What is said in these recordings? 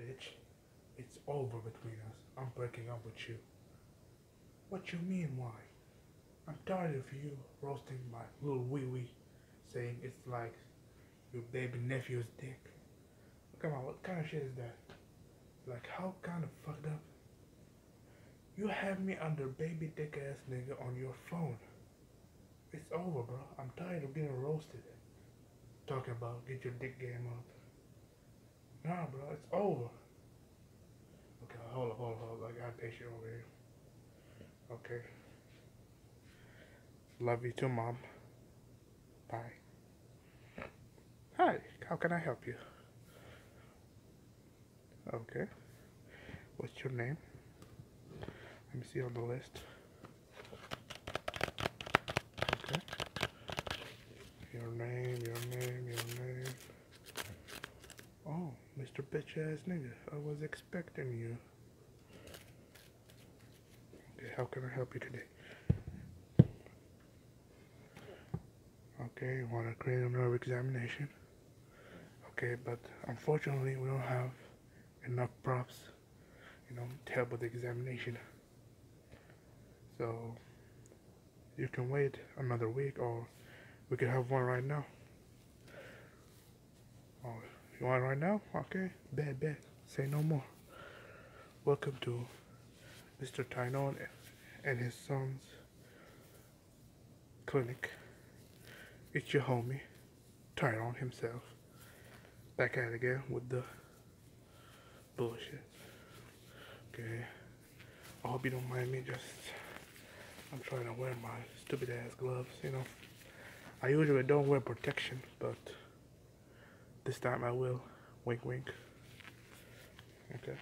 Bitch, it's over between us. I'm breaking up with you. What you mean, why? I'm tired of you roasting my little wee wee, saying it's like your baby nephew's dick. Come on, what kind of shit is that? Like, how kind of fucked up? You have me under baby dick ass nigga on your phone. It's over, bro. I'm tired of getting roasted talking about get your dick game up. Nah, bro, it's over. Okay, hold up, hold up, hold up. I got patient over here. Okay. Love you too, mom. Bye. Hi, how can I help you? Okay. What's your name? Let me see on the list. Your name, your name, your name. Oh, Mr. Bitch ass nigga, I was expecting you. Okay, how can I help you today? Okay, you want a criminal examination? Okay, but unfortunately we don't have enough props you know, terrible the examination. So you can wait another week or we can have one right now. Oh, you want right now? Okay, bad, bad. Say no more. Welcome to Mr. Tynon and his son's clinic. It's your homie turn on himself. Back out again with the bullshit. Okay. I hope you don't mind me just I'm trying to wear my stupid ass gloves, you know. I usually don't wear protection, but this time I will. Wink wink. Okay.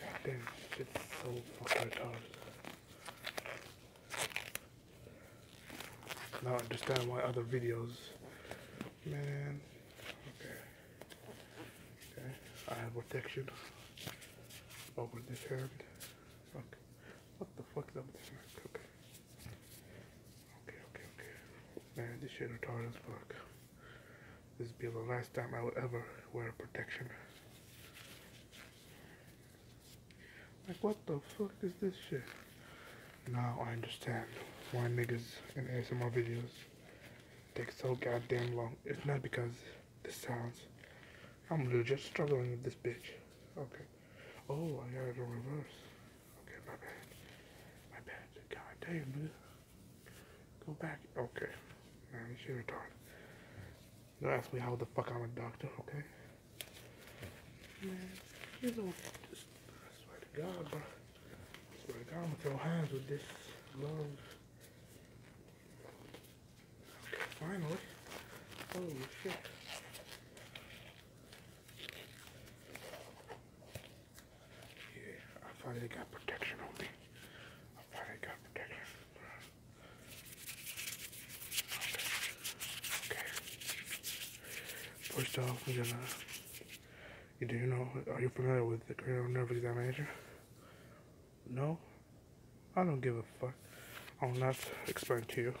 God damn, it's so fucking retarded. Now I understand why other videos, man. Okay. Okay. I have protection over this hand. Okay. What the fuck is up with this Okay. Okay, okay, okay. Man, this shit retarded as fuck. This be the last time I will ever wear protection. Like, what the fuck is this shit? Now I understand why niggas in ASMR videos take so goddamn long. It's not because the sounds. I'm just struggling with this bitch. Okay. Oh, I got it on reverse. Okay, my bad. My bad. God damn, dude. Go back. Okay. Man, you should have don't ask me how the fuck I'm a doctor, okay? Man, you know, just, swear to God, bro. swear to God, I'm gonna throw hands with this love. Okay, finally. Holy shit. Yeah, I finally got protection on me. I finally got protection. Okay. okay. First off, we're gonna. You do you know? Are you familiar with the cranial nerve examination? No. I don't give a fuck. I will not explain to you.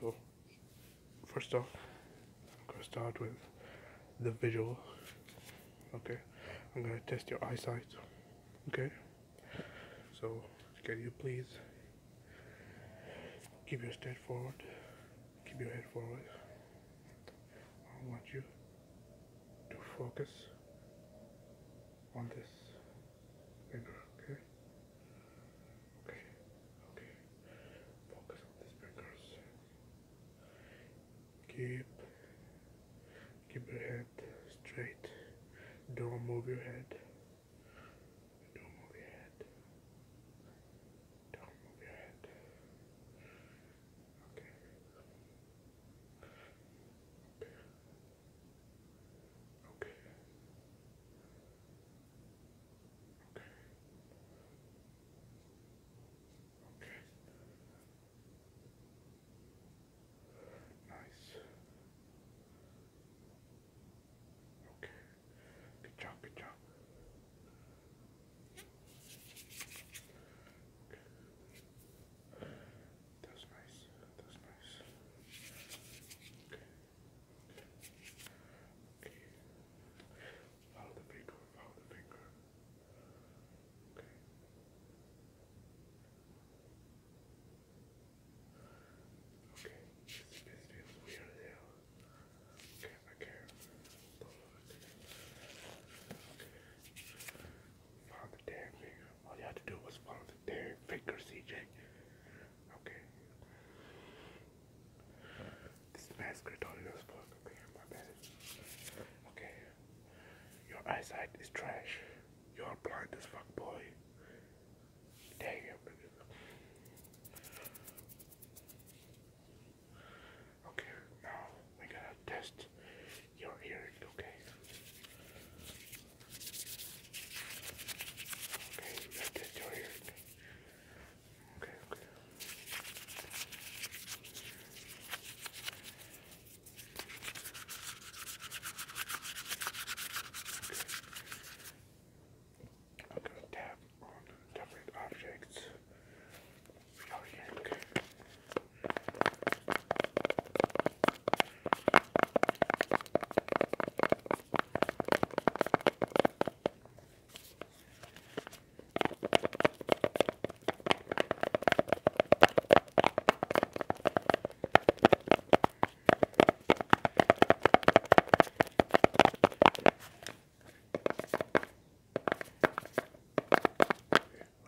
So, first off, I'm gonna start with the visual. Okay. I'm gonna test your eyesight. Okay. So, can you please keep your step forward, keep your head forward. I want you to focus on this finger, okay? Okay, okay. Focus on these fingers. Keep, keep your head straight. Don't move your head. Don't move your head. Don't move your head. Okay. Okay. Okay. Okay. Okay. Nice. Okay. Good job, good job. Okay. That's nice. That's nice. Okay. Okay. Okay. Follow the finger, follow the finger. Okay. Okay, it's getting a bit weird there. Okay, okay. damn finger. All you had to do was follow the damn finger, CJ. Okay. This mask is all yours, fuck. Okay, my bad. Okay, your eyesight is trash. You're blind as fuck, boy. Damn. Okay, now we gotta test your hearing, okay? Okay, we got test your hearing. Okay, okay. Okay. I'm going to tap on different objects. Oh, yeah, okay.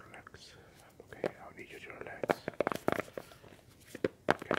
Relax. Okay, I'll need you to relax. Can you hear it?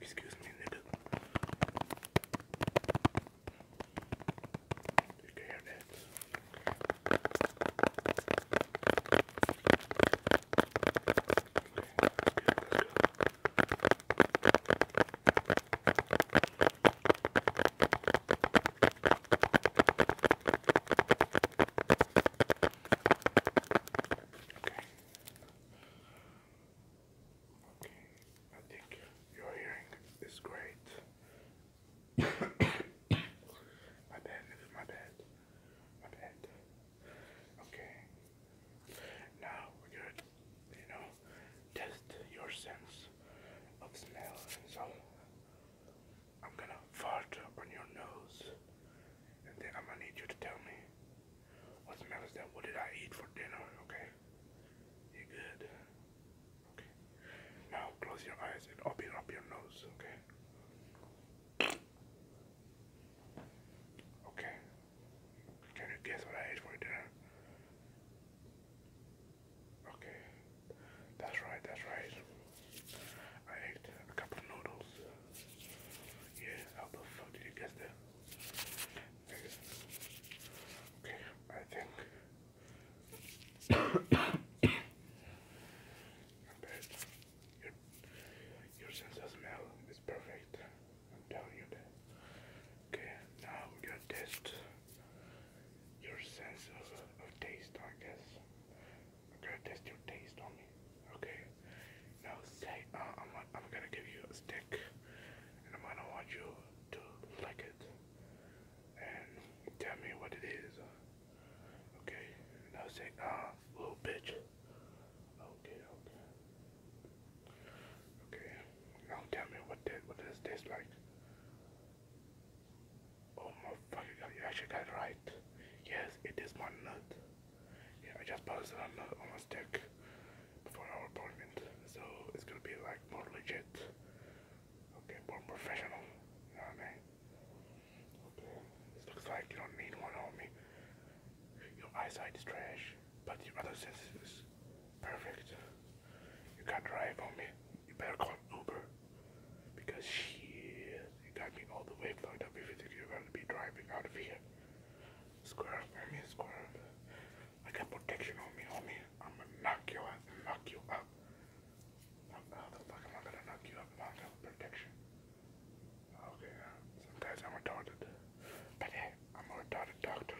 Excuse me, nigga. You can hear that. Okay. Okay. I think your hearing is great. my bad, my bad. My bad. Okay. Now we're gonna, you know, test your sense of smell so I'm gonna fart on your nose, and then I'm gonna need you to tell me what smell is that? What did I eat for dinner? Okay, you good? Okay. Now close your eyes and open up your nose. Okay. Okay. Can you guess what I ate for dinner? Okay. That's right, that's right. I ate a couple of noodles. Yeah, how the fuck did you get there? Okay, I think. your, your sense of smell is perfect. I'm telling you that. Okay, now we're your sense of, of taste, I guess. I'm gonna test your taste on me. Okay. Now say uh, I'm gonna give you a stick, and I'm gonna want you to lick it and tell me what it is. Okay. Now say ah, little bitch. Okay. Okay. Okay. Now tell me what that what this taste like. Oh motherfucker, you actually got it right. Yes, it is my note. I just posted a on my stick before our appointment, so it's gonna be like more legit. Okay, more professional. You know what I mean? looks like you don't need one on me. Your eyesight is trash, but your other senses is perfect. You can't drive on me. You better call Uber. Because she you got me all the way plugged up if you think you're gonna be driving out of here. Square up, I mean square up. I got protection on me, homie. I'm gonna knock you out and knock you up. How the fuck am I gonna knock you up if protection? Okay, uh, sometimes I'm retarded. But hey, I'm a retarded doctor.